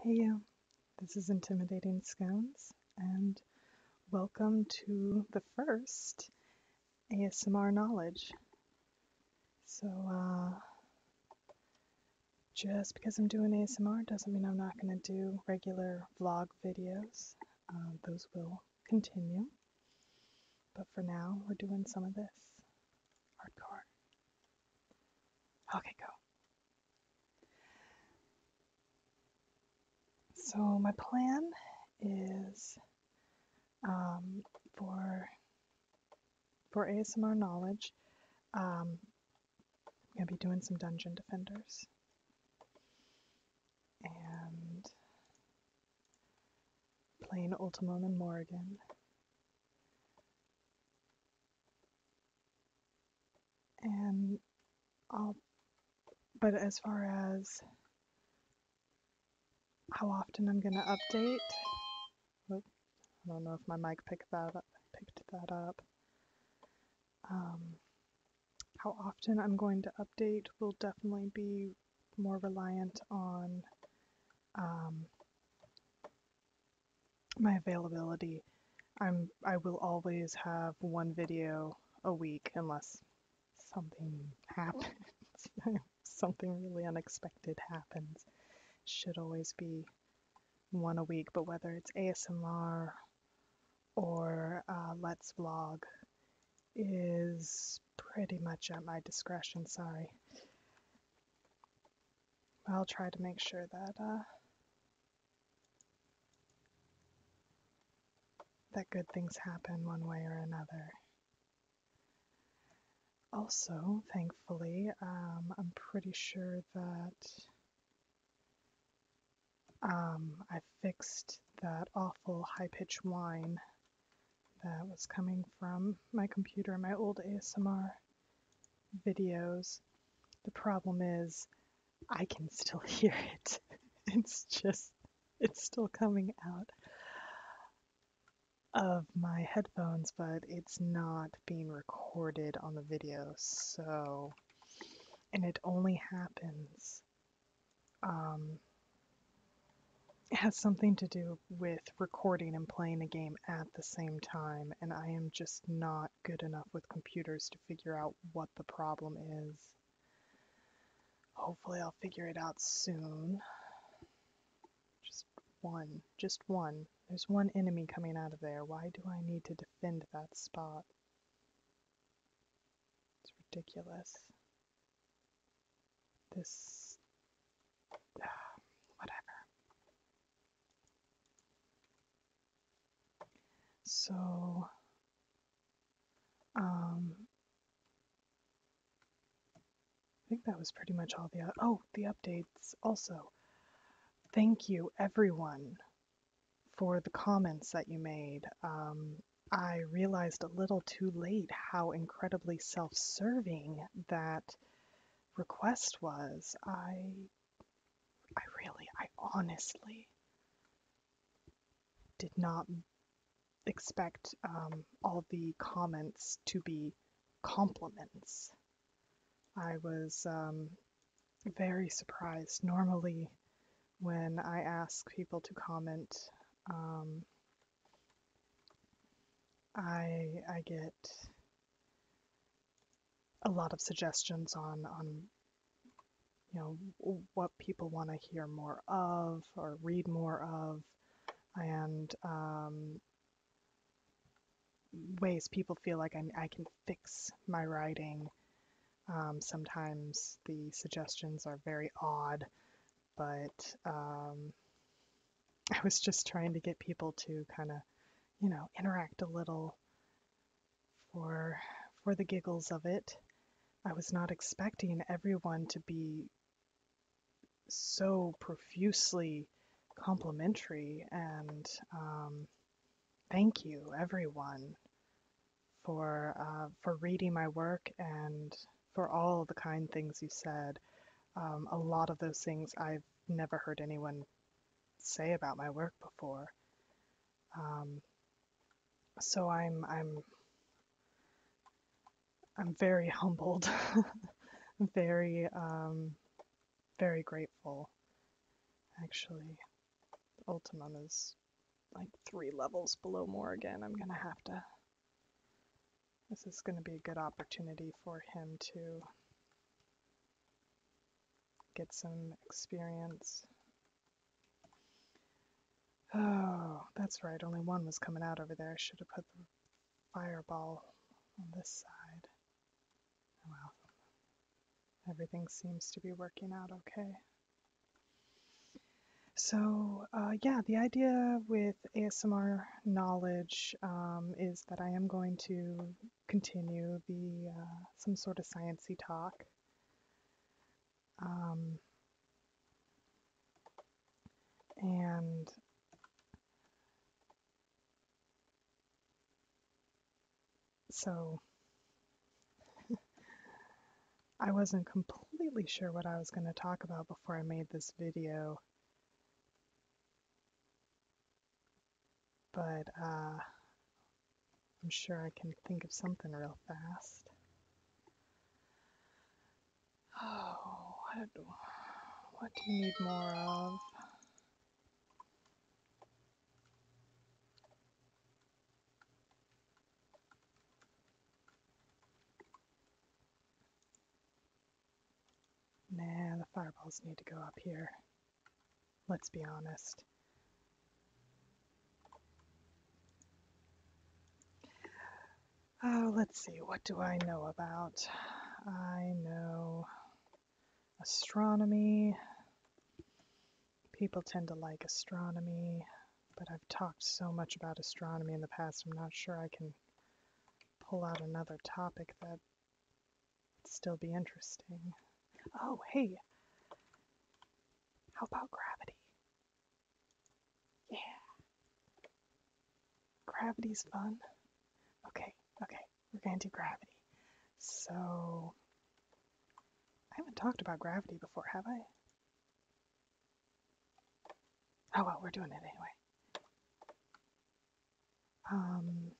Hey you, this is Intimidating Scones, and welcome to the first ASMR knowledge. So, uh, just because I'm doing ASMR doesn't mean I'm not going to do regular vlog videos. Um, those will continue. But for now, we're doing some of this hardcore. Okay, go. So, my plan is um, for for ASMR knowledge, um, I'm going to be doing some Dungeon Defenders. And playing Ultima and Morrigan and I'll, but as far as how often I'm going to update, oh, I don't know if my mic picked that up, picked that up. Um, how often I'm going to update will definitely be more reliant on um, my availability. I'm I will always have one video a week unless something happens. something really unexpected happens. Should always be one a week, but whether it's ASMR or uh, Let's Vlog is pretty much at my discretion, sorry. I'll try to make sure that uh, that good things happen one way or another. Also, thankfully, um, I'm pretty sure that um, I fixed that awful high pitched whine that was coming from my computer, my old ASMR videos. The problem is, I can still hear it. It's just, it's still coming out of my headphones, but it's not being recorded on the video, so. And it only happens. Um, it has something to do with recording and playing a game at the same time, and I am just not good enough with computers to figure out what the problem is. Hopefully, I'll figure it out soon. Just one. Just one. There's one enemy coming out of there. Why do I need to defend that spot? It's ridiculous. This. whatever. So, um, I think that was pretty much all the oh the updates also. Thank you everyone for the comments that you made. Um, I realized a little too late how incredibly self-serving that request was. I I really, I honestly did not expect um, all the comments to be compliments. I was um, very surprised. Normally, when I ask people to comment, um, I I get a lot of suggestions on on you know what people want to hear more of or read more of and um, ways people feel like i can fix my writing um, sometimes the suggestions are very odd but um, i was just trying to get people to kind of you know interact a little for for the giggles of it. I was not expecting everyone to be so profusely complimentary and um, thank you everyone for uh, for reading my work and for all the kind things you said. Um, a lot of those things I've never heard anyone say about my work before. Um, so I'm I'm I'm very humbled, very um, very grateful. Actually, Ultima is like three levels below Morrigan. I'm gonna have to. This is gonna be a good opportunity for him to get some experience. Oh, that's right, only one was coming out over there. I should have put the fireball on this side. Oh, well, everything seems to be working out okay. So, uh, yeah, the idea with ASMR knowledge um, is that I am going to continue the uh, some sort of sciency talk. Um, and so I wasn't completely sure what I was going to talk about before I made this video but uh, I'm sure I can think of something real fast. Oh, what, what do you need more of? Nah, the fireballs need to go up here. Let's be honest. Oh, let's see, what do I know about? I know astronomy. People tend to like astronomy, but I've talked so much about astronomy in the past, I'm not sure I can pull out another topic that It'd still be interesting. Oh, hey, how about gravity? Yeah. Gravity's fun. Okay, okay, we're going to do gravity. So, I haven't talked about gravity before, have I? Oh well, we're doing it anyway. Um,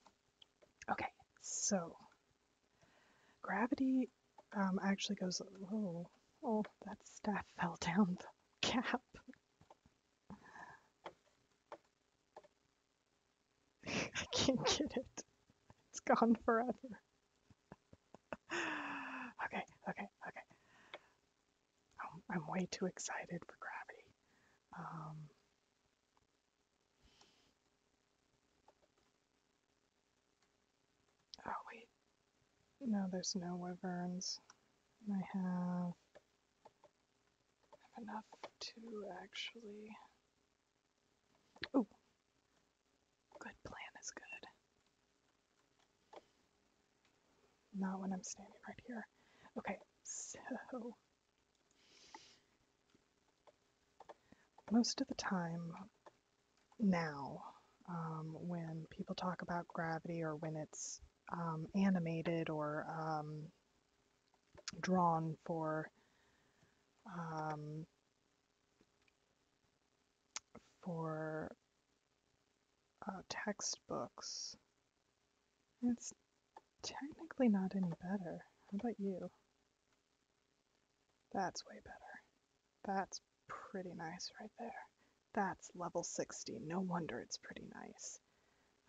okay, so gravity um, actually goes, oh, that staff fell down the cap. I can't get it. It's gone forever. okay, okay, okay. I'm, um, I'm way too excited for gravity. Oh, wait. No, there's no wyverns. I have, have enough to actually. Oh, good plan is good. Not when I'm standing right here. Okay, so most of the time now, um, when people talk about gravity or when it's um, animated or um, drawn for for uh, textbooks, it's technically not any better. How about you? That's way better. That's pretty nice right there. That's level 60. No wonder it's pretty nice.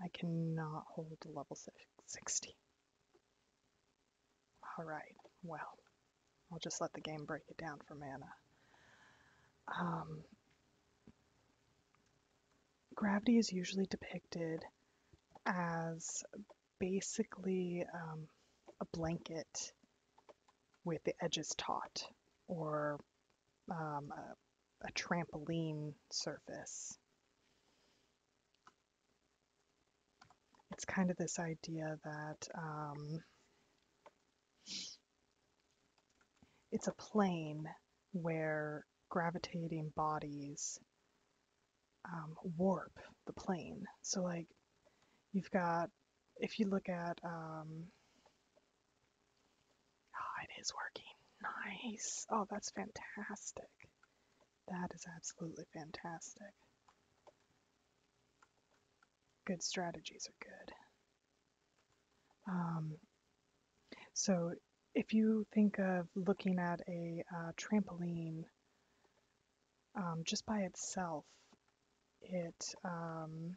I cannot hold to level 60. Alright, well, I'll just let the game break it down for mana. Um, gravity is usually depicted as basically um, a blanket with the edges taut or um, a, trampoline surface. It's kind of this idea that um, it's a plane where gravitating bodies um, warp the plane. So, like, you've got, if you look at, um, ah, it is working. Nice. Oh, that's fantastic. That is absolutely fantastic. Good strategies are good. Um, so if you think of looking at a uh, trampoline um, just by itself, it um,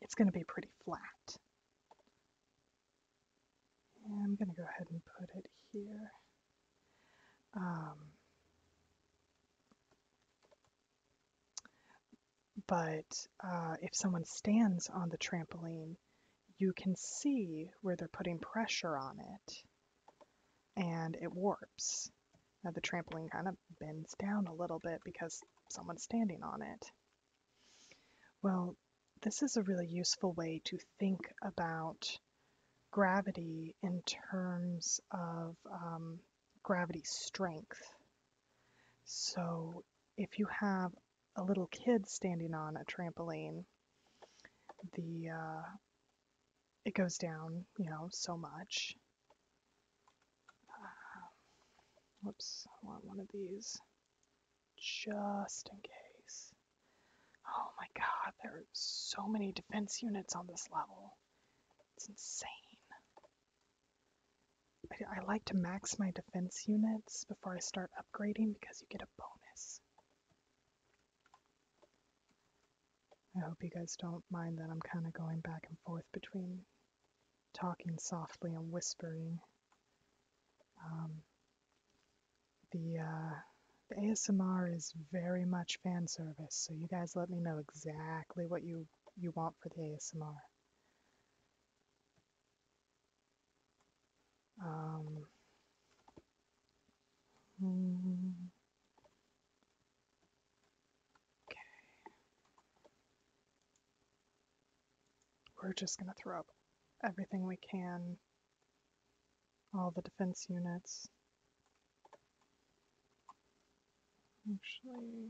it's going to be pretty flat. I'm going to go ahead and put it here. Um, but uh, if someone stands on the trampoline, you can see where they're putting pressure on it and it warps. Now the trampoline kind of bends down a little bit because someone's standing on it. Well, this is a really useful way to think about gravity in terms of um, gravity strength. So if you have a little kid standing on a trampoline. The uh, it goes down, you know, so much. Uh, whoops, I want one of these just in case. Oh my god, there are so many defense units on this level. It's insane. I, I like to max my defense units before I start upgrading because you get a bonus. I hope you guys don't mind that I'm kind of going back and forth between talking softly and whispering. Um, the uh, the ASMR is very much fan service, so you guys let me know exactly what you you want for the ASMR. Um, hmm, okay. We're just going to throw up everything we can, all the defense units. Actually,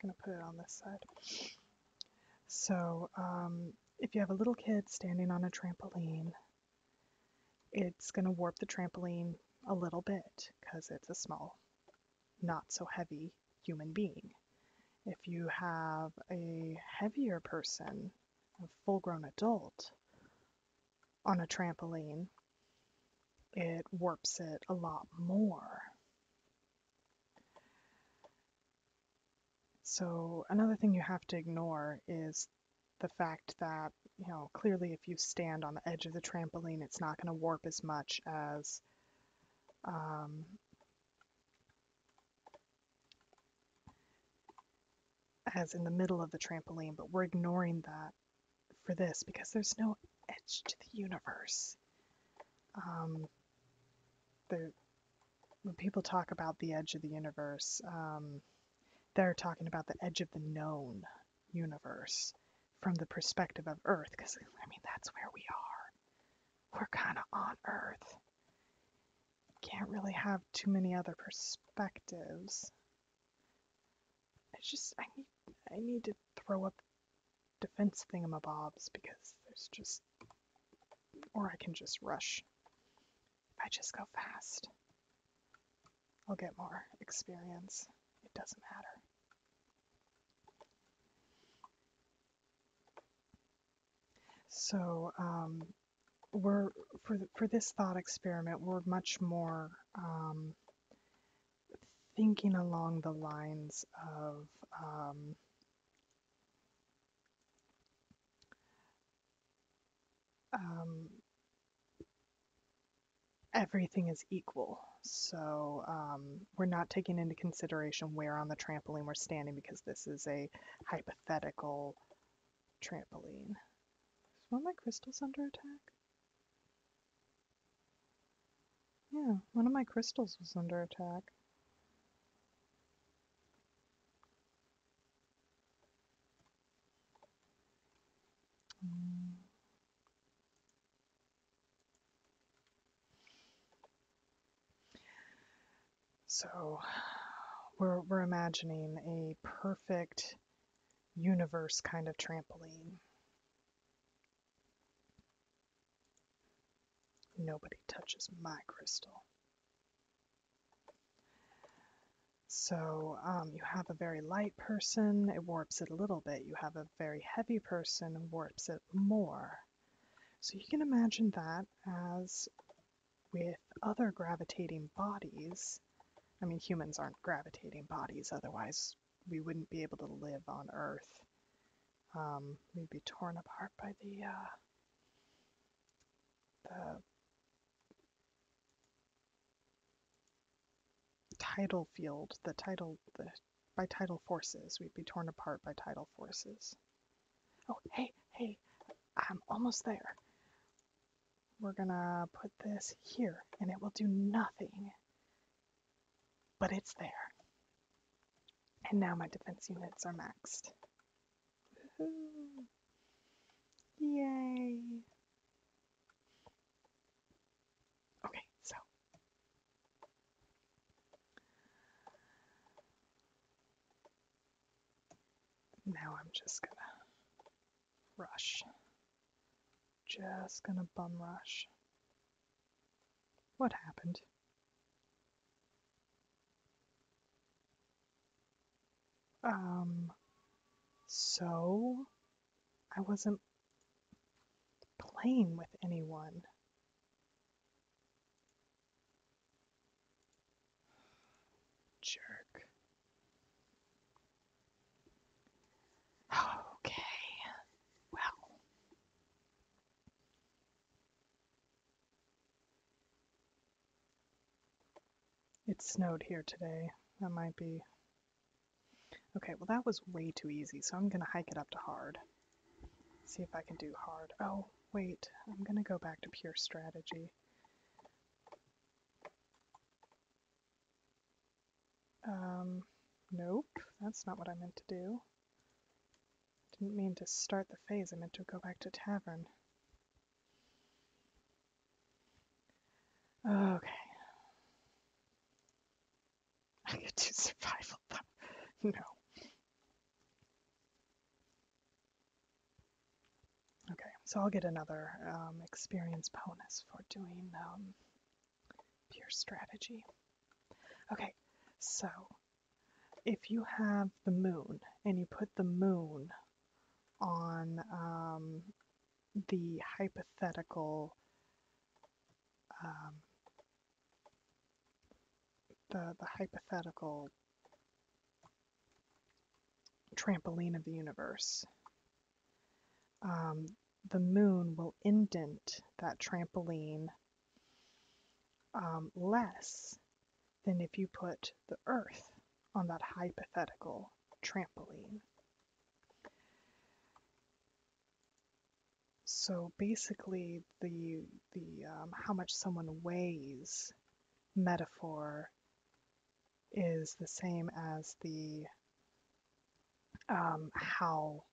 going to put it on this side. So, um, if you have a little kid standing on a trampoline, it's going to warp the trampoline a little bit because it's a small, not so heavy human being. If you have a heavier person, a full grown adult, on a trampoline, it warps it a lot more. So another thing you have to ignore is the fact that, you know, clearly if you stand on the edge of the trampoline, it's not going to warp as much as um, as in the middle of the trampoline, but we're ignoring that for this because there's no edge to the universe. Um, when people talk about the edge of the universe, um, they're talking about the edge of the known universe from the perspective of Earth, because I mean, that's where we are. We're kind of on Earth. Can't really have too many other perspectives. I just, I need, I need to throw up defense thingamabobs because there's just, or I can just rush if I just go fast, I'll get more experience. It doesn't matter. So um, we're for for this thought experiment, we're much more um, thinking along the lines of um, um, everything is equal. So um, we're not taking into consideration where on the trampoline we're standing because this is a hypothetical trampoline. one of my crystals under attack? Yeah, one of my crystals was under attack. So we're, we're imagining a perfect universe kind of trampoline. Nobody touches my crystal. So um, you have a very light person, it warps it a little bit. You have a very heavy person, warps it more. So you can imagine that as with other gravitating bodies. I mean, humans aren't gravitating bodies, otherwise, we wouldn't be able to live on Earth. Um, we'd be torn apart by the uh, the tidal field, the tidal, the, by tidal forces. We'd be torn apart by tidal forces. Oh, hey, hey, I'm almost there. We're gonna put this here, and it will do nothing. But it's there. And now my defense units are maxed. Woohoo! Yay! Okay, so now I'm just gonna rush. Just gonna bum rush. What happened? Um, so I wasn't playing with anyone. Jerk. Okay, well, it snowed here today. That might be. Okay, well, that was way too easy, so I'm going to hike it up to hard. See if I can do hard. Oh, wait, I'm going to go back to pure strategy. Um, nope, that's not what I meant to do. Didn't mean to start the phase, I meant to go back to tavern. Okay. I could do survival, no. Okay, so I'll get another um, experience bonus for doing um, pure strategy. Okay, so if you have the moon and you put the moon on um, the hypothetical um, the the hypothetical trampoline of the universe. Um, the moon will indent that trampoline less than if you put the earth on that hypothetical trampoline. So basically, the the um, how much someone weighs metaphor is the same as the um, how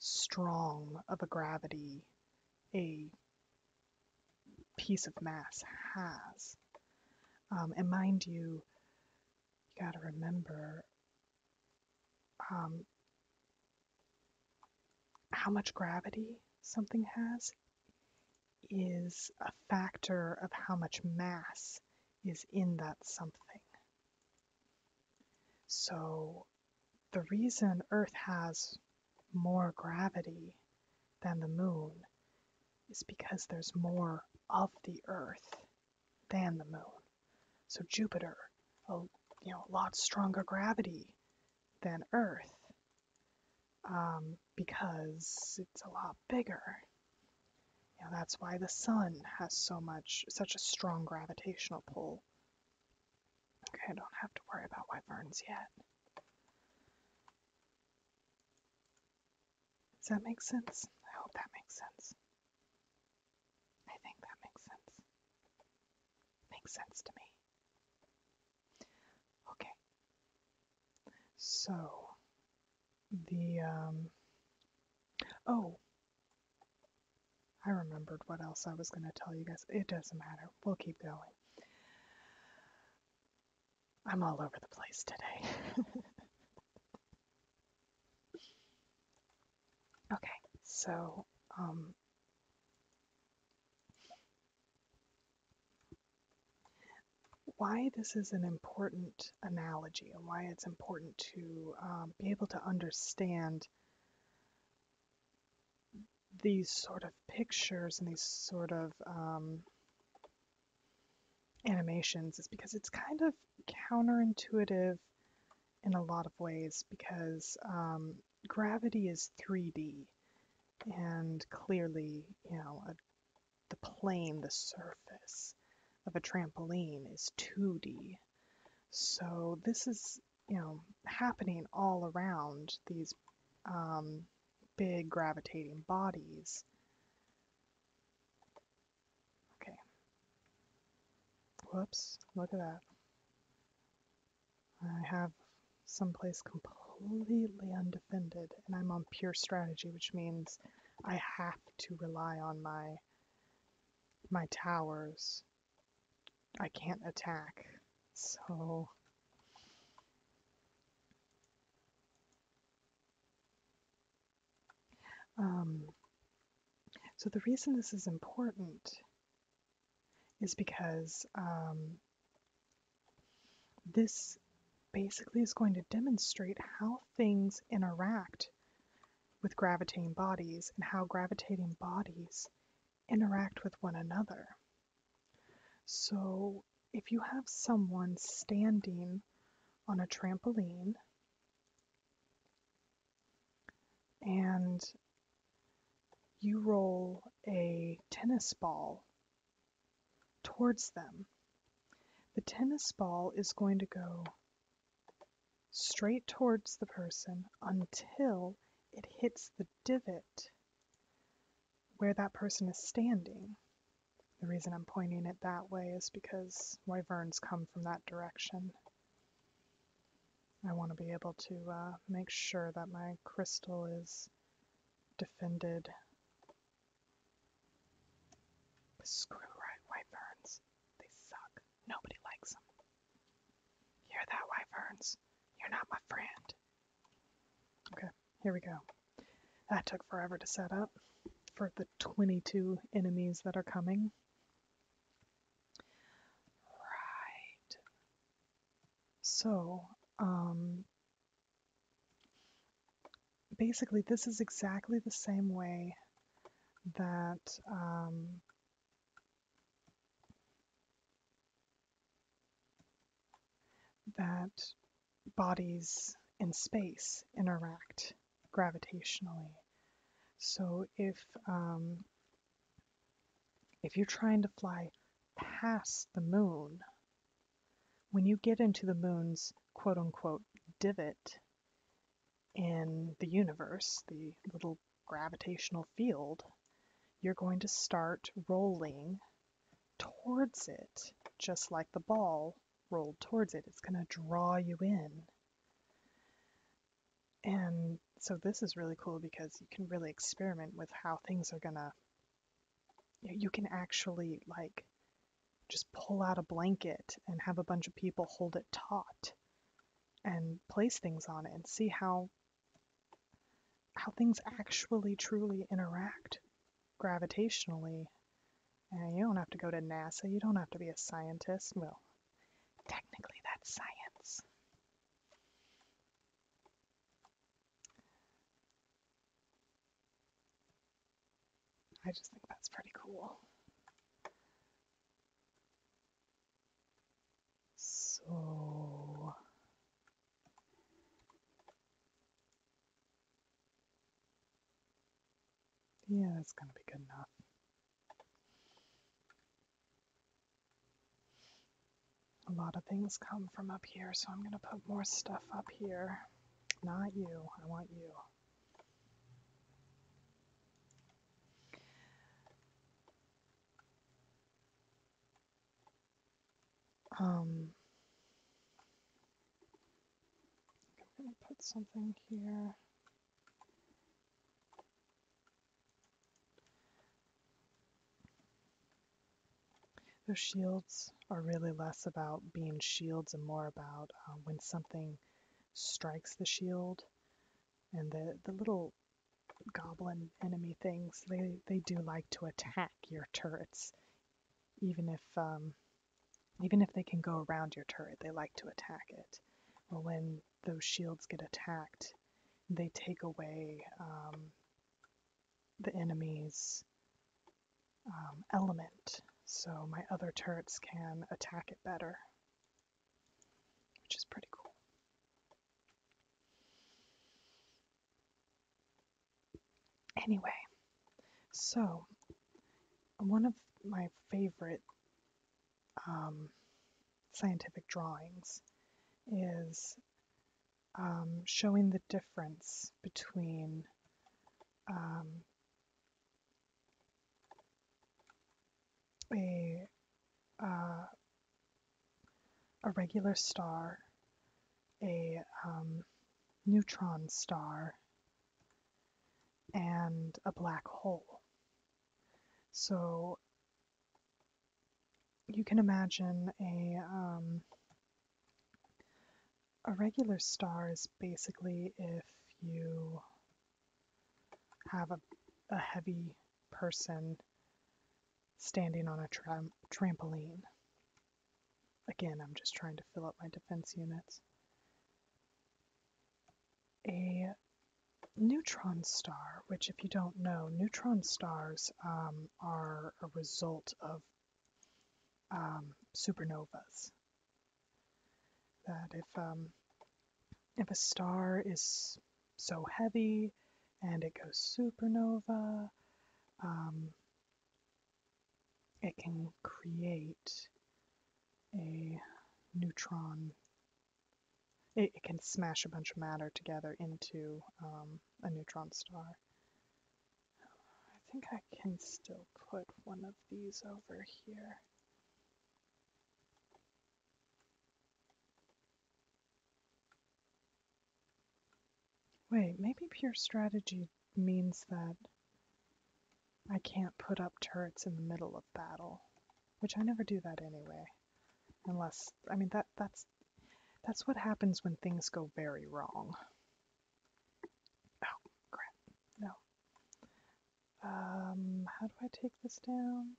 strong of a gravity a piece of mass has. Um, and mind you, you got to remember um, how much gravity something has is a factor of how much mass is in that something. So the reason Earth has more gravity than the moon is because there's more of the Earth than the moon. So Jupiter, a you know, a lot stronger gravity than Earth um, because it's a lot bigger. You know, that's why the sun has so much, such a strong gravitational pull. Okay, I don't have to worry about why wyverns yet. Does that make sense? I hope that makes sense. I think that makes sense. Makes sense to me. Okay. So, the, um, oh, I remembered what else I was going to tell you guys. It doesn't matter. We'll keep going. I'm all over the place today. okay, so um, why this is an important analogy and why it's important to um, be able to understand these sort of pictures and these sort of um, animations is because it's kind of counterintuitive in a lot of ways because um, gravity is 3D and clearly, you know, the plane, the surface of a trampoline is 2D. So this is, you know, happening all around these um, big gravitating bodies. Okay. Whoops, look at that. I have someplace completely undefended, and I'm on pure strategy, which means I have to rely on my my towers. I can't attack, so um, so the reason this is important is because um, this basically is going to demonstrate how things interact with gravitating bodies and how gravitating bodies interact with one another. So, if you have someone standing on a trampoline and you roll a tennis ball towards them, the tennis ball is going to go straight towards the person until it hits the divot where that person is standing. The reason I'm pointing it that way is because wyverns come from that direction. I want to be able to uh, make sure that my crystal is defended. screw right wyverns. They suck. Nobody likes them. Hear that, wyverns? You're not my friend. Okay, here we go. That took forever to set up for the 22 enemies that are coming. Right. So, um, basically, this is exactly the same way that um, that bodies in space interact gravitationally. So if um, if you're trying to fly past the moon, when you get into the moon's quote unquote divot in the universe, the little gravitational field, you're going to start rolling towards it, just like the ball rolled towards it. It's going to draw you in. And so this is really cool because you can really experiment with how things are going to, you can actually like just pull out a blanket and have a bunch of people hold it taut and place things on it and see how how things actually truly interact gravitationally. And you don't have to go to NASA, you don't have to be a scientist. Well, technically, that's science. I just think that's pretty cool. So, yeah, that's going to be good enough. A lot of things come from up here, so I'm going to put more stuff up here. Not you, I want you. Um, I'm going to put something here. Those shields are really less about being shields and more about uh, when something strikes the shield and the, the little goblin enemy things they, they do like to attack your turrets even if um, even if they can go around your turret, they like to attack it. Well, when those shields get attacked, they take away um, the enemy's um, element, so my other turrets can attack it better, which is pretty cool. Anyway, so one of my favorite um, scientific drawings is um, showing the difference between um, a uh, a regular star a um, neutron star and a black hole. So you can imagine a um, a regular star is basically if you have a, a heavy person standing on a trampoline. Again, I'm just trying to fill up my defense units. A neutron star, which, if you don't know, neutron stars um, are a result of um, supernovas. That if um, if a star is so heavy and it goes supernova, it can create a neutron. It, it can smash a bunch of matter together into um, a neutron star. I think I can still put one of these over here. Wait, maybe pure strategy means that I can't put up turrets in the middle of battle, which I never do that anyway. Unless, I mean that that's that's what happens when things go very wrong. Oh, crap. No. Um, how do I take this down?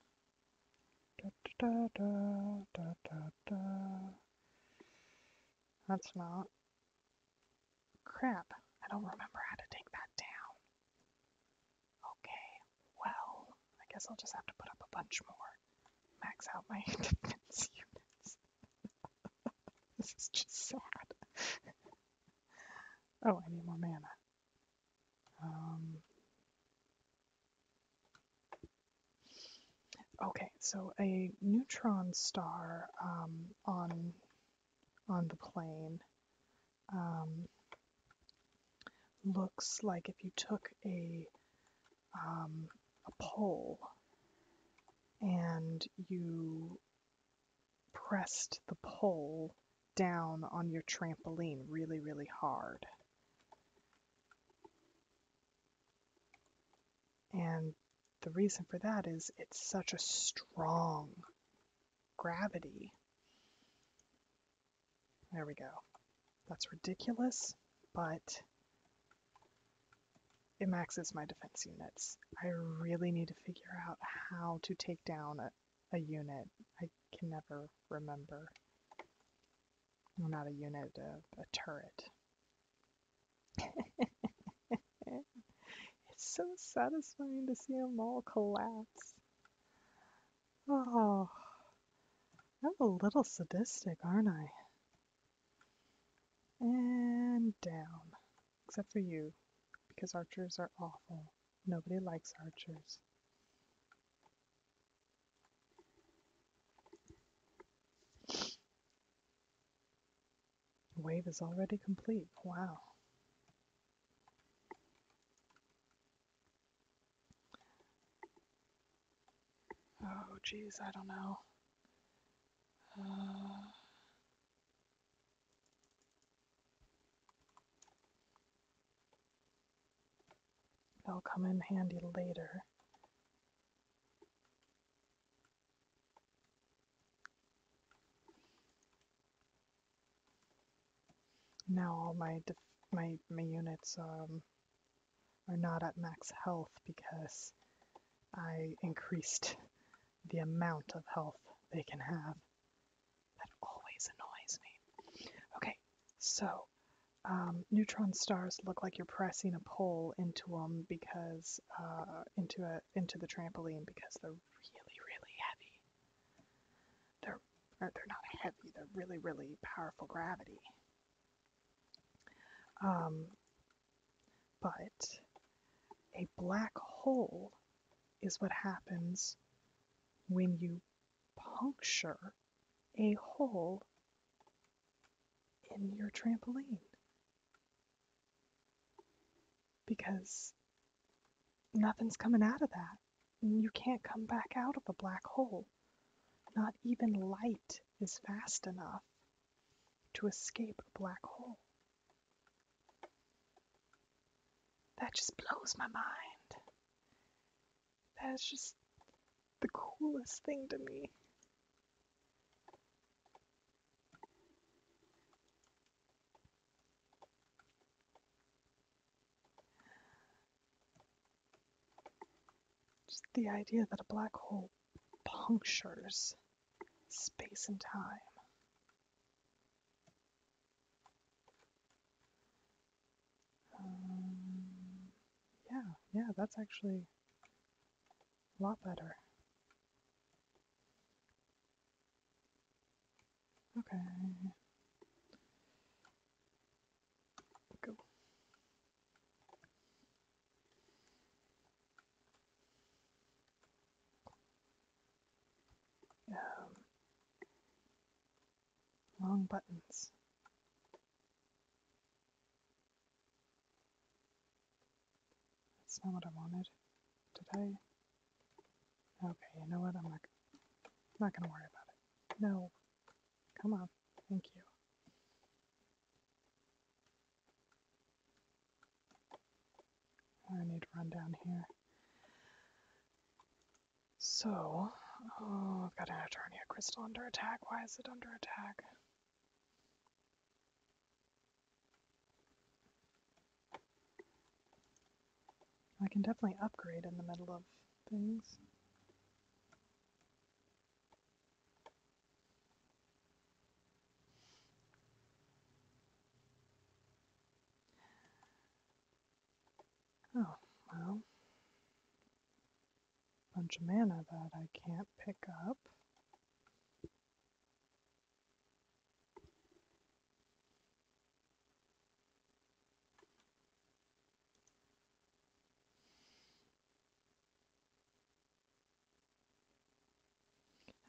That's not. Crap, I don't remember how to take that down. Okay, well, I guess I'll just have to put up a bunch more. Max out my defense units. this is just sad. oh, I need more mana. Um, Okay, so a neutron star um, on on the plane um, looks like if you took a um, a pole and you pressed the pole down on your trampoline really really hard and the reason for that is it's such a strong gravity. There we go. That's ridiculous, but it maxes my defense units. I really need to figure out how to take down a, unit. I can never remember. not a unit, a, a turret. it's so satisfying to see them all collapse. Oh, I'm a little sadistic, aren't I? And down. Except for you, because archers are awful. Nobody likes archers. The Wave is already complete. Wow. Oh, geez, I don't know. Uh, they'll come in handy later. Now all my my my units um, are not at max health because I increased the amount of health they can have. That always annoys me. Okay, so um, neutron stars look like you're pressing a pole into them because uh, into a into the trampoline because they're really really heavy. They're they're not heavy. They're really really powerful gravity. Um, but a black hole is what happens when you puncture a hole in your trampoline. Because nothing's coming out of that. You can't come back out of a black hole. Not even light is fast enough to escape a black hole. That just blows my mind. That is just the coolest thing to me. Just the idea that a black hole punctures space and time. Um, yeah, yeah, that's actually a lot better. Okay. Go. Um, long buttons. That's not what I wanted. Did I? Okay, you know what? I'm not, I'm not gonna worry about it. No. Come on. Thank you. I need to run down here. So, oh, I've got an Eternia crystal under attack. Why is it under attack? I can definitely upgrade in the middle of things. Oh, well bunch of mana that I can't pick up.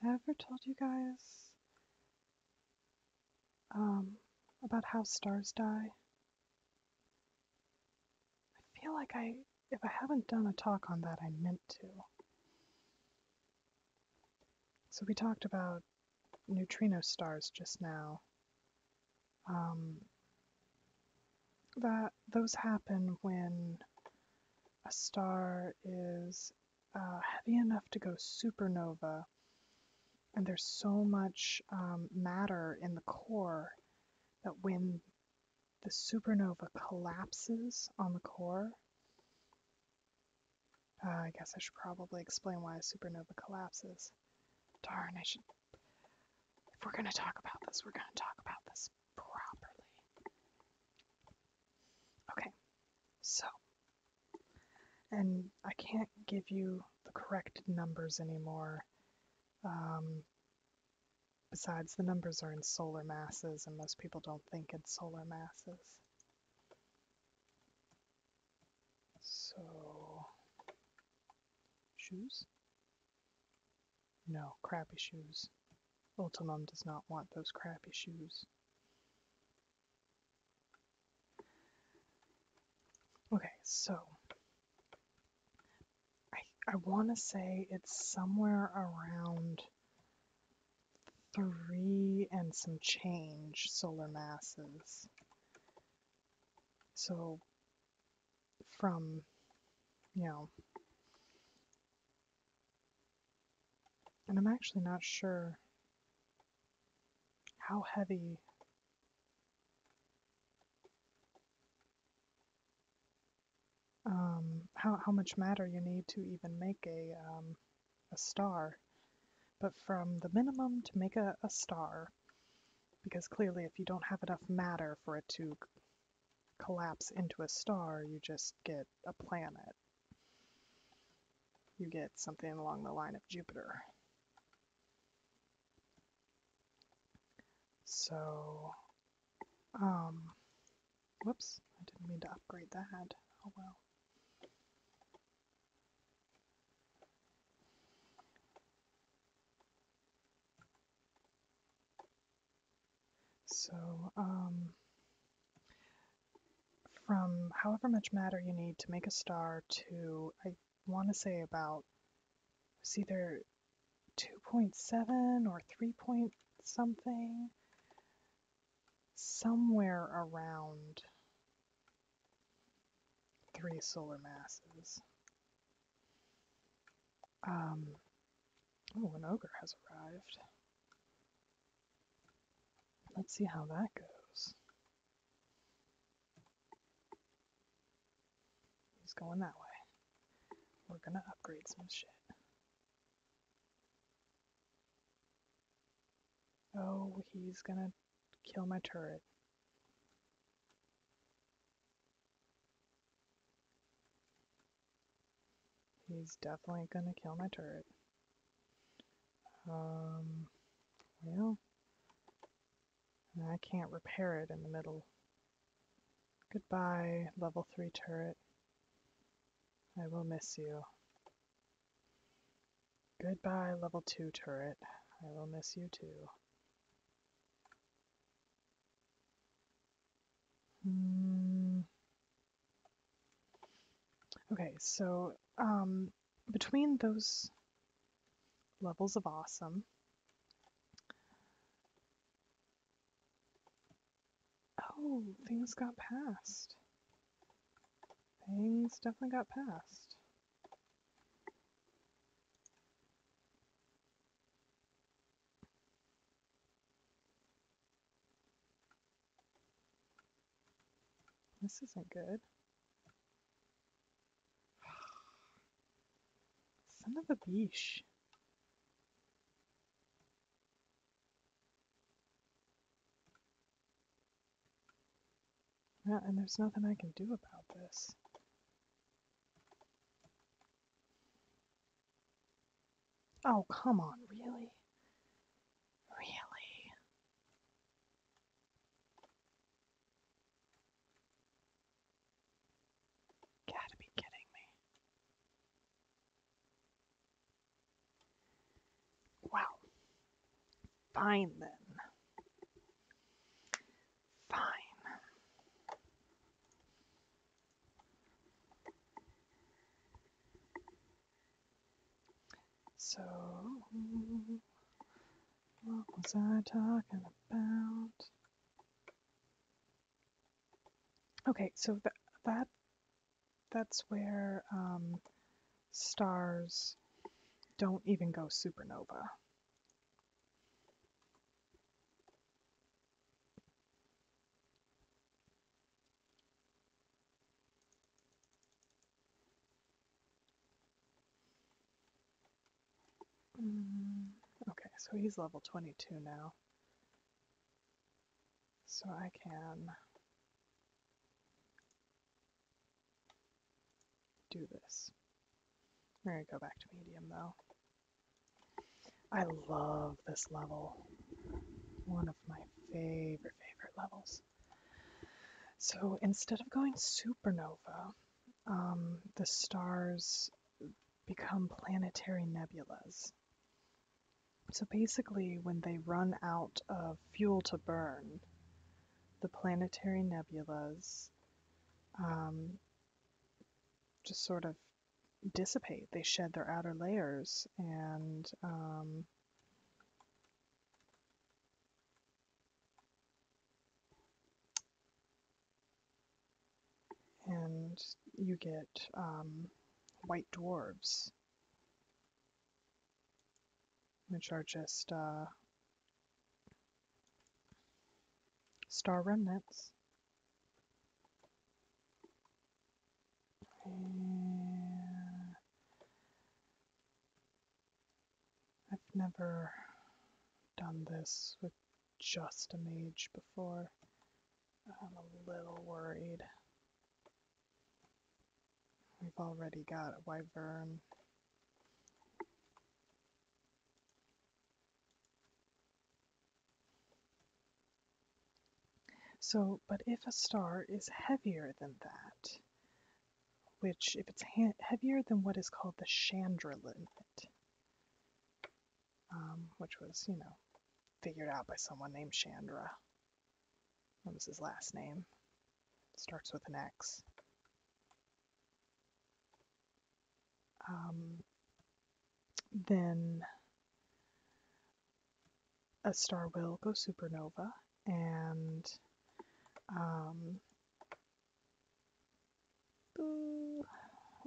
Have I ever told you guys um, about how stars die? I feel like I if I haven't done a talk on that, I meant to. So we talked about neutrino stars just now. Um, that those happen when a star is uh, heavy enough to go supernova, and there's so much um, matter in the core that when the supernova collapses on the core. Uh, I guess I should probably explain why a supernova collapses. Darn, I should. If we're going to talk about this, we're going to talk about this properly. Okay, so. And I can't give you the correct numbers anymore. Um, Besides, the numbers are in solar masses, and most people don't think in solar masses. So, shoes? No, crappy shoes. Ultimum does not want those crappy shoes. Okay, so I I want to say it's somewhere around three and some change solar masses. So from, you know, and I'm actually not sure how heavy um, how, how much matter you need to even make a, um, a star. But from the minimum to make a, a star, because clearly if you don't have enough matter for it to collapse into a star, you just get a planet. You get something along the line of Jupiter. So um, whoops, I didn't mean to upgrade that. Oh well. So, um, from however much matter you need to make a star to, I want to say about, See there. 2.7 or 3 point something. Somewhere around three solar masses. oh, an ogre has arrived. Let's see how that goes. He's going that way. We're gonna upgrade some shit. Oh, he's gonna kill my turret. He's definitely gonna kill my turret. Um, well, I can't repair it in the middle Goodbye, level 3 turret. I will miss you. Goodbye, level 2 turret. I will miss you too. Hmm. Okay, so um, between those levels of awesome, Oh, things got passed. Things definitely got passed. This isn't good. Son of a beesh. Yeah, and there's nothing I can do about this. Oh, come on, really? Really? Gotta be kidding me. Wow. Fine then. Fine. So, what was I talking about? Okay, so that that's where um, stars don't even go supernova. Mm, okay, so he's level 22 now so I can do this. We're going to go back to medium though. I love this level. One of my favorite, favorite levels. So instead of going supernova, um, the stars become planetary nebulas. So basically, when they run out of fuel to burn, the planetary nebulas um, just sort of dissipate. They shed their outer layers and um, and you get um, white dwarfs, which are just uh, star remnants. I've never done this with just a mage before. I'm a little worried. We've already got a wyvern. So, but if a star is heavier than that, which if it's heavier than what is called the Chandra limit, um, which was, you know, figured out by someone named Chandra. What was his last name. Starts with an X. Um, then a star will go supernova, and um,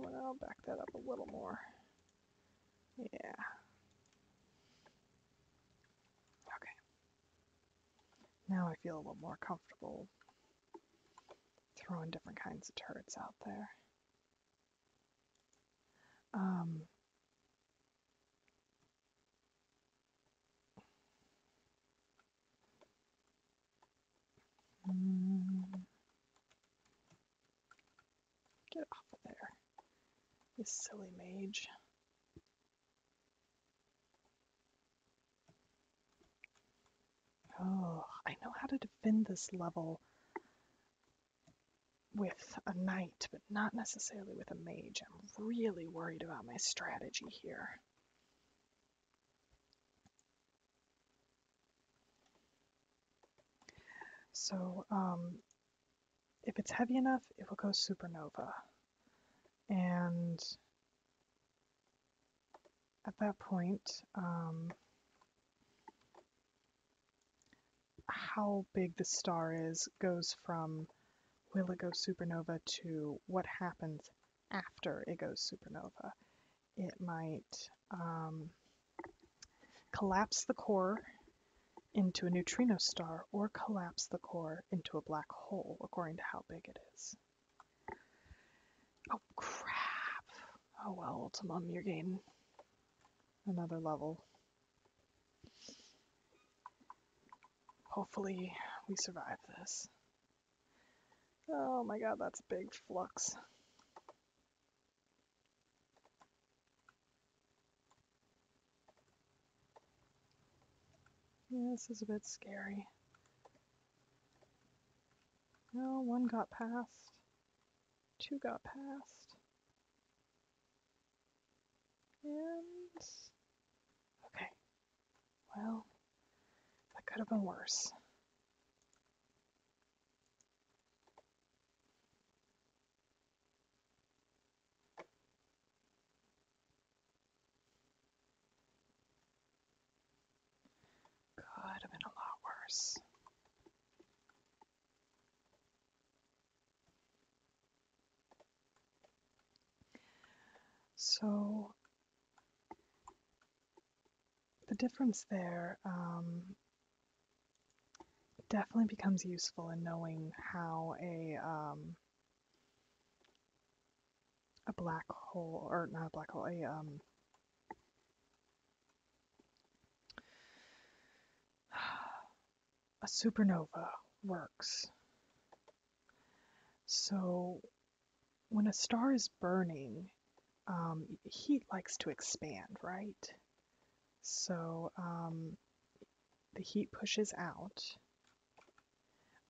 I'll back that up a little more. Yeah. Okay. Now I feel a little more comfortable throwing different kinds of turrets out there. Um, mm. Get off of there. You silly mage. Oh, I know how to defend this level with a knight, but not necessarily with a mage. I'm really worried about my strategy here. So, um, if it's heavy enough, it will go supernova. And at that point, um, how big the star is goes from will it go supernova to what happens after it goes supernova. It might um, collapse the core into a neutrino star or collapse the core into a black hole, according to how big it is. Oh, crap. Oh, well, Ultimum, you're gaining another level. Hopefully, we survive this. Oh my god, that's a big flux this is a bit scary. No, one got past. Two got past. And... Okay. Well, that could have been worse. Could have been a lot worse. So the difference there um, definitely becomes useful in knowing how a um, a black hole or not a black hole a um, a supernova works. So when a star is burning, heat likes to expand, right? So um, the heat pushes out,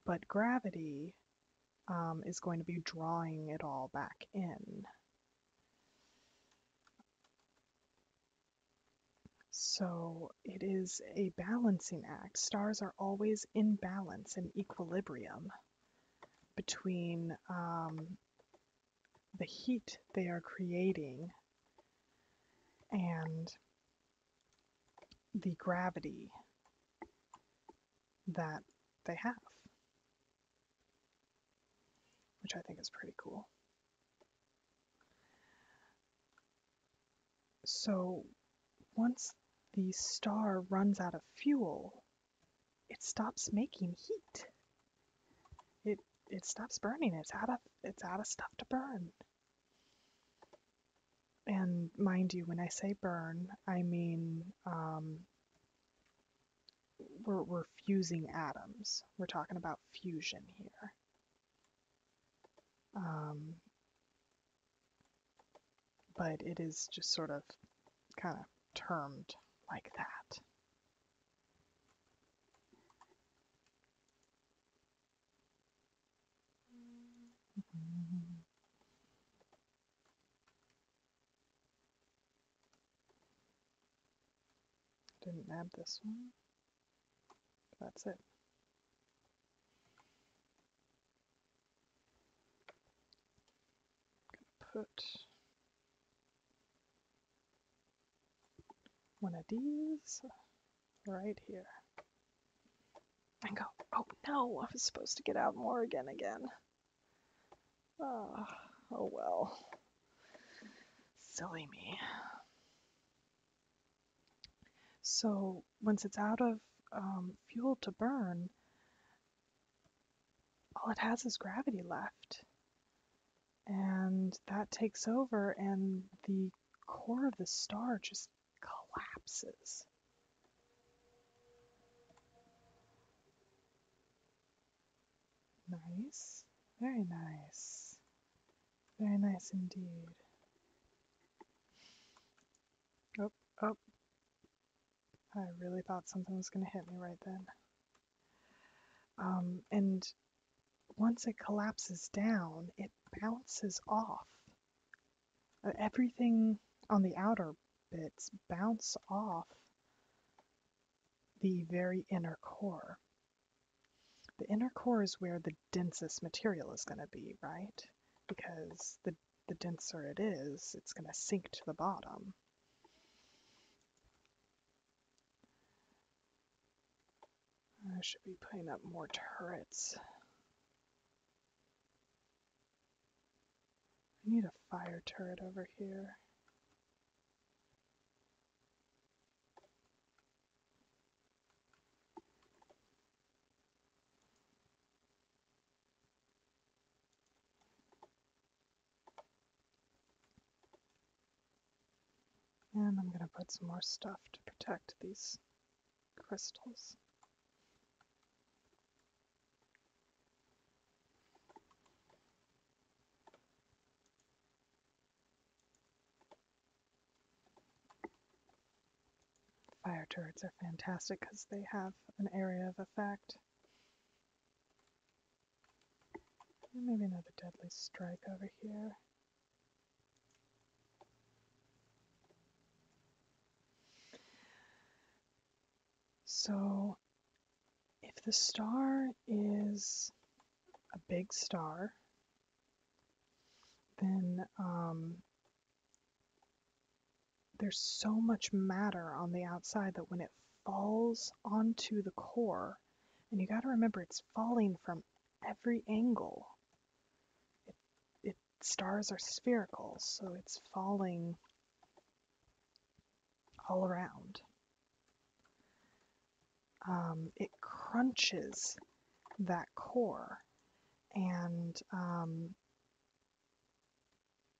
but gravity um, is going to be drawing it all back in. So it is a balancing act. Stars are always in balance and equilibrium between um, the heat they are creating and the gravity that they have, which I think is pretty cool. So once the star runs out of fuel, it stops making heat. It it stops burning. It's out of it's out of stuff to burn. And mind you, when I say burn, I mean um, we're we're fusing atoms. We're talking about fusion here. Um, but it is just sort of kind of termed like that. Didn't nab this one. That's it. put one of these right here. And go, oh no, I was supposed to get out more again. Oh, oh well. Silly me. So once it's out of um, fuel to burn, all it has is gravity left and that takes over and the core of the star just collapses. Nice. Very nice. Very nice indeed. Oh, oh. I really thought something was going to hit me right then. Um, and once it collapses down, it bounces off. Uh, everything on the outer bits bounce off the very inner core. The inner core is where the densest material is going to be, right? Because the, the denser it is, it's going to sink to the bottom. I should be putting up more turrets. I need a fire turret over here. And I'm going to put some more stuff to protect these crystals. Fire turrets are fantastic because they have an area of effect. Maybe another deadly strike over here. So, if the star is a big star, then um, there's so much matter on the outside that when it falls onto the core, and you got to remember it's falling from every angle. It, it stars are spherical, so it's falling all around. Um, it crunches that core and um,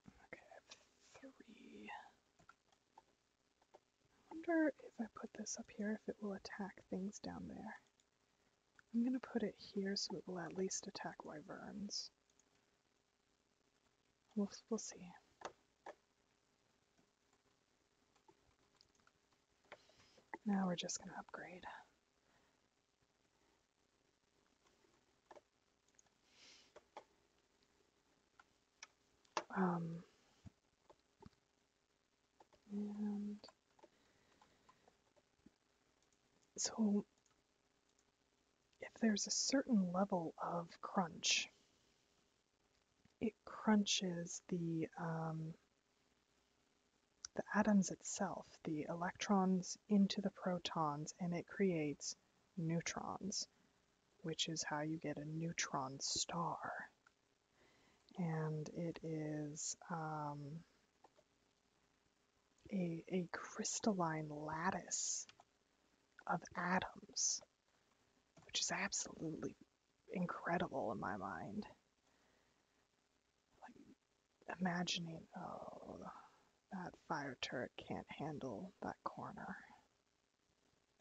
okay, three I wonder if I put this up here if it will attack things down there. I'm going to put it here so it will at least attack wyverns. We'll, see. Now we're just going to upgrade. Um, so, if there's a certain level of crunch, it crunches the um, the atoms itself, the electrons into the protons, and it creates neutrons which is how you get a neutron star. And it is um, a, a crystalline lattice of atoms, which is absolutely incredible in my mind. Like imagining, oh, that fire turret can't handle that corner.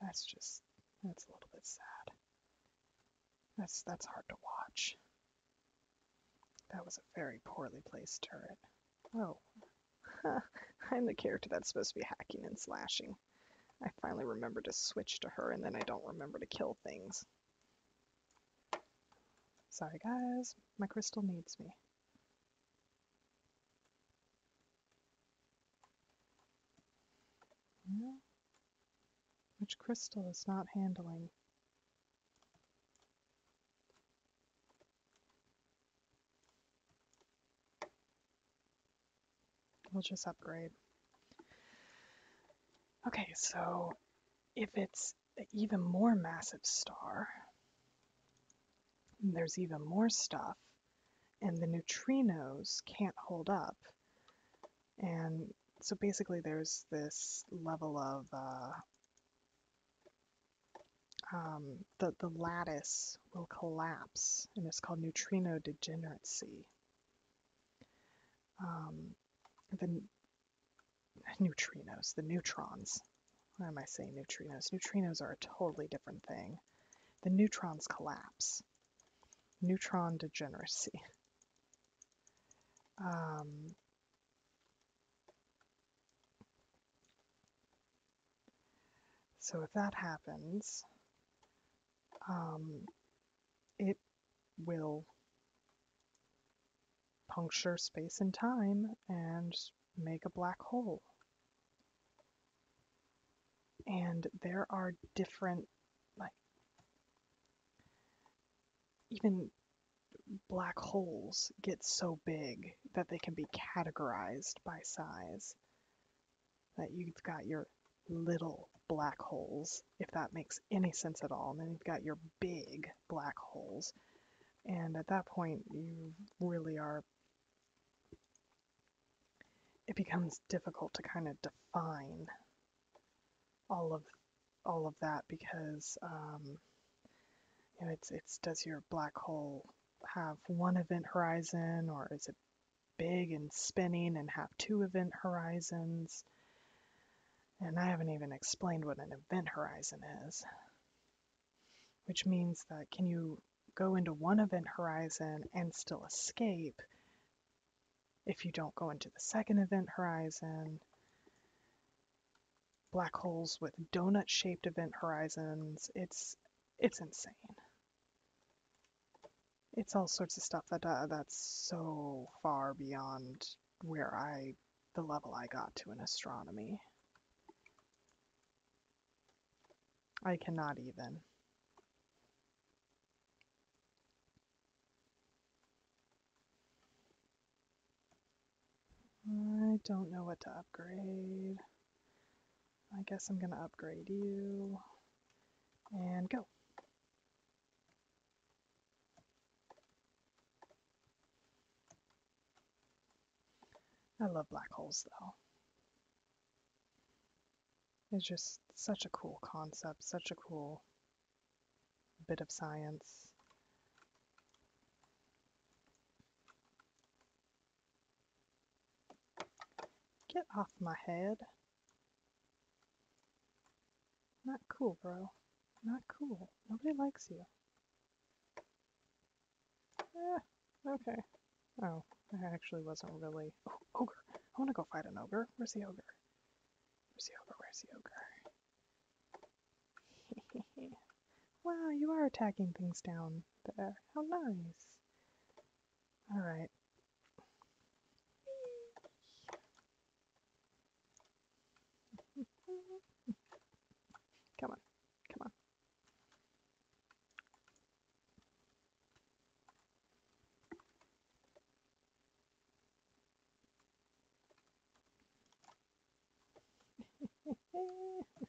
That's just that's a little bit sad. That's that's hard to watch. That was a very poorly placed turret. Oh. I'm the character that's supposed to be hacking and slashing. I finally remember to switch to her and then I don't remember to kill things. Sorry guys, my crystal needs me which crystal is not handling? We'll just upgrade. Okay, so if it's an even more massive star, there's even more stuff and the neutrinos can't hold up. And so basically, there's this level of uh, um, the, the lattice will collapse, and it's called neutrino degeneracy. Um, the neutrinos, the neutrons. Why am I saying neutrinos? Neutrinos are a totally different thing the neutrons collapse. Neutron degeneracy. Um, so if that happens, um, it will puncture space and time and make a black hole and there are different like even black holes get so big that they can be categorized by size that you've got your little black holes if that makes any sense at all and then you've got your big black holes and at that point you really are it becomes difficult to kind of define all of all of that because um, you know, it's it's does your black hole have one event horizon or is it big and spinning and have two event horizons? And I haven't even explained what an event horizon is, which means that can you go into one event horizon and still escape if you don't go into the second event horizon. Black holes with donut shaped event horizons. It's it's insane. It's all sorts of stuff that uh, that's so far beyond where I the level I got to in astronomy. I cannot even. I don't know what to upgrade. I guess I'm going to upgrade you and go. I love black holes though. It's just such a cool concept, such a cool bit of science. Get off my head. Not cool, bro. Not cool. Nobody likes you. Eh. Okay. Oh, that actually wasn't really. ogre! I want to go fight an ogre. Where's the ogre? Where's the ogre? Where's the ogre? wow, you are attacking things down there. How nice. Alright. come on. Come on.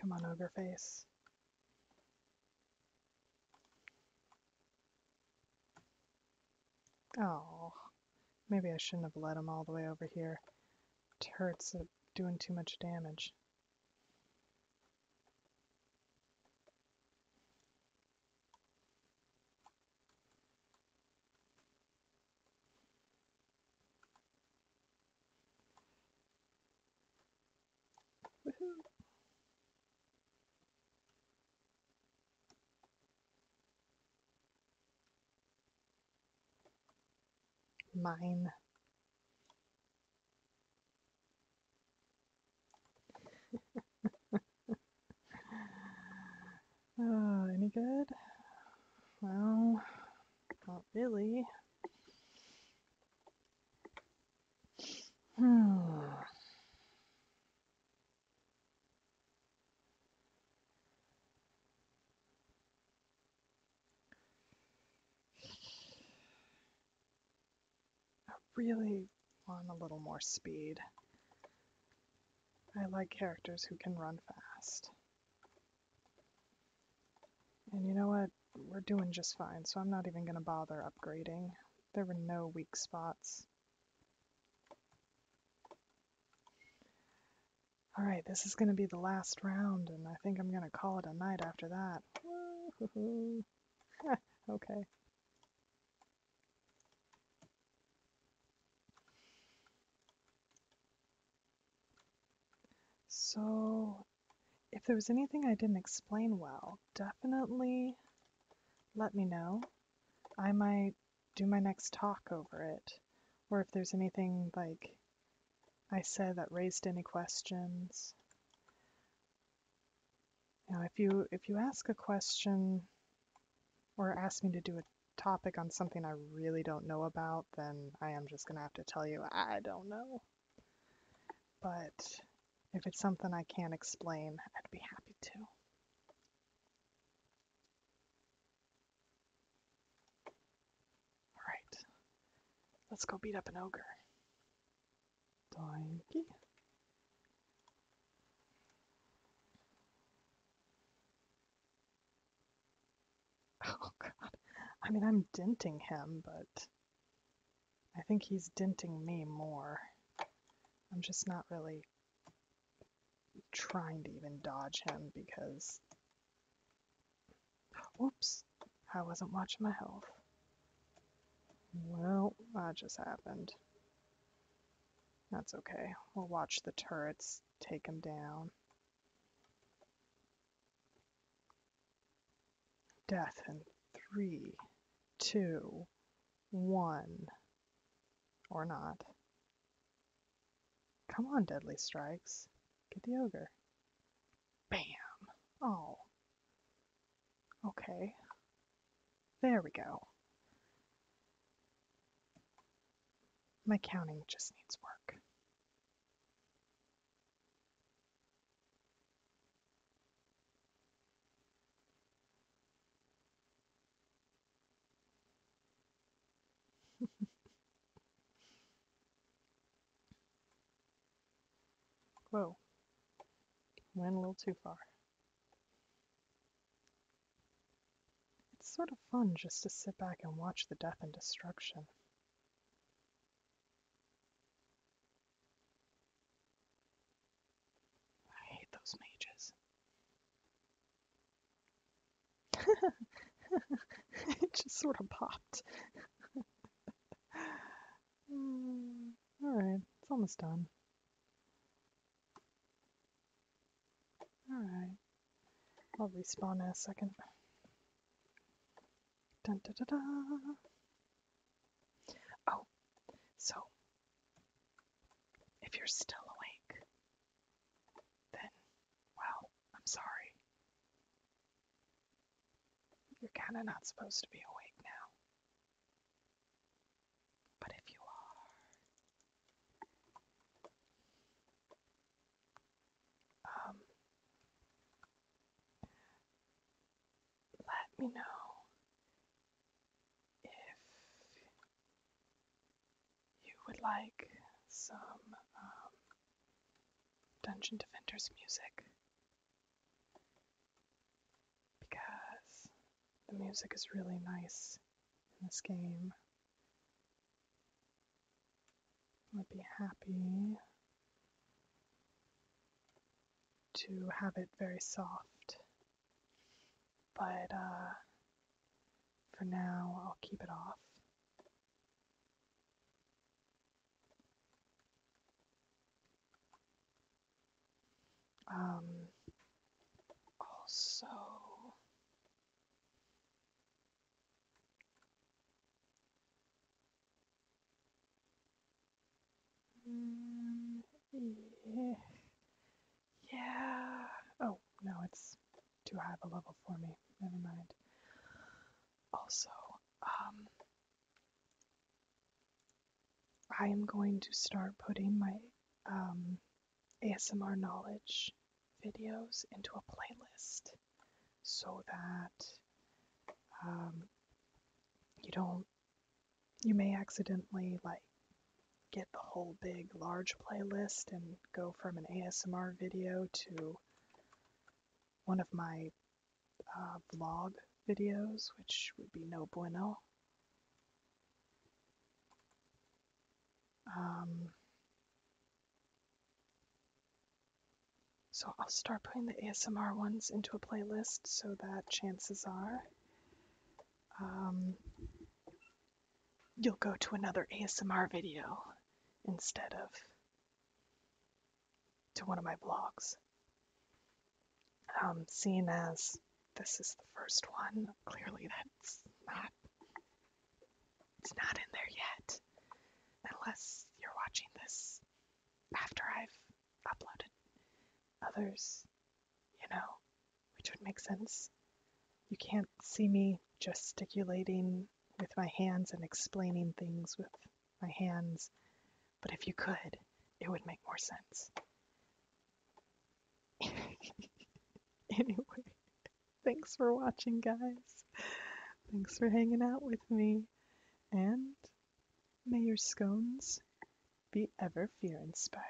Come on, ogre face. Oh, maybe I shouldn't have led him all the way over here. It hurts uh, doing too much damage mine. oh, any good? Well, not really. Hmm. I really want a little more speed. I like characters who can run fast. And you know what? We're doing just fine, so I'm not even going to bother upgrading. There were no weak spots. All right, this is going to be the last round, and I think I'm going to call it a night after that. okay. So, if there was anything I didn't explain well, definitely let me know. I might do my next talk over it, or if there's anything like I said that raised any questions. Now, if you if you ask a question or ask me to do a topic on something I really don't know about, then I am just going to have to tell you I don't know. But if it's something I can't explain, I'd be happy to. Alright. Let's go beat up an ogre. Doinky. Oh god. I mean, I'm denting him, but I think he's denting me more. I'm just not really trying to even dodge him because. Whoops! I wasn't watching my health. Well, that just happened. That's okay. We'll watch the turrets take him down. Death in three, two, one. Or not. Come on, Deadly Strikes. Get the ogre. Bam! Oh. Okay. There we go. My counting just needs work. Whoa. Went a little too far. It's sort of fun just to sit back and watch the death and destruction. I hate those mages. it just sort of popped. Hmm, all right, it's almost done. All right, I'll respawn in a second. Oh, so if you're still awake, then, well, I'm sorry. You're kind of not supposed to be awake now. But if you are, um, let me know if you would like some um, Dungeon Defenders music because the music is really nice in this game. I'd be happy to have it very soft but uh, for now, I'll keep it off. Um, also, um, yeah. Yeah. Oh, no, it's too high of a level for me. Never mind. Also, um, I am going to start putting my um, ASMR knowledge videos into a playlist so that um, you don't, you may accidentally like get the whole big large playlist and go from an ASMR video to one of my uh, vlog videos, which would be no bueno. Um, so I'll start putting the ASMR ones into a playlist so that chances are um, you'll go to another ASMR video instead of to one of my blogs. Um, Seen as this is the first one, clearly that's not it's not in there yet. Unless you're watching this after I've uploaded others, you know, which would make sense. You can't see me gesticulating with my hands and explaining things with my hands, but if you could, it would make more sense. anyway, thanks for watching, guys. Thanks for hanging out with me, and may your scones be ever fear inspiring.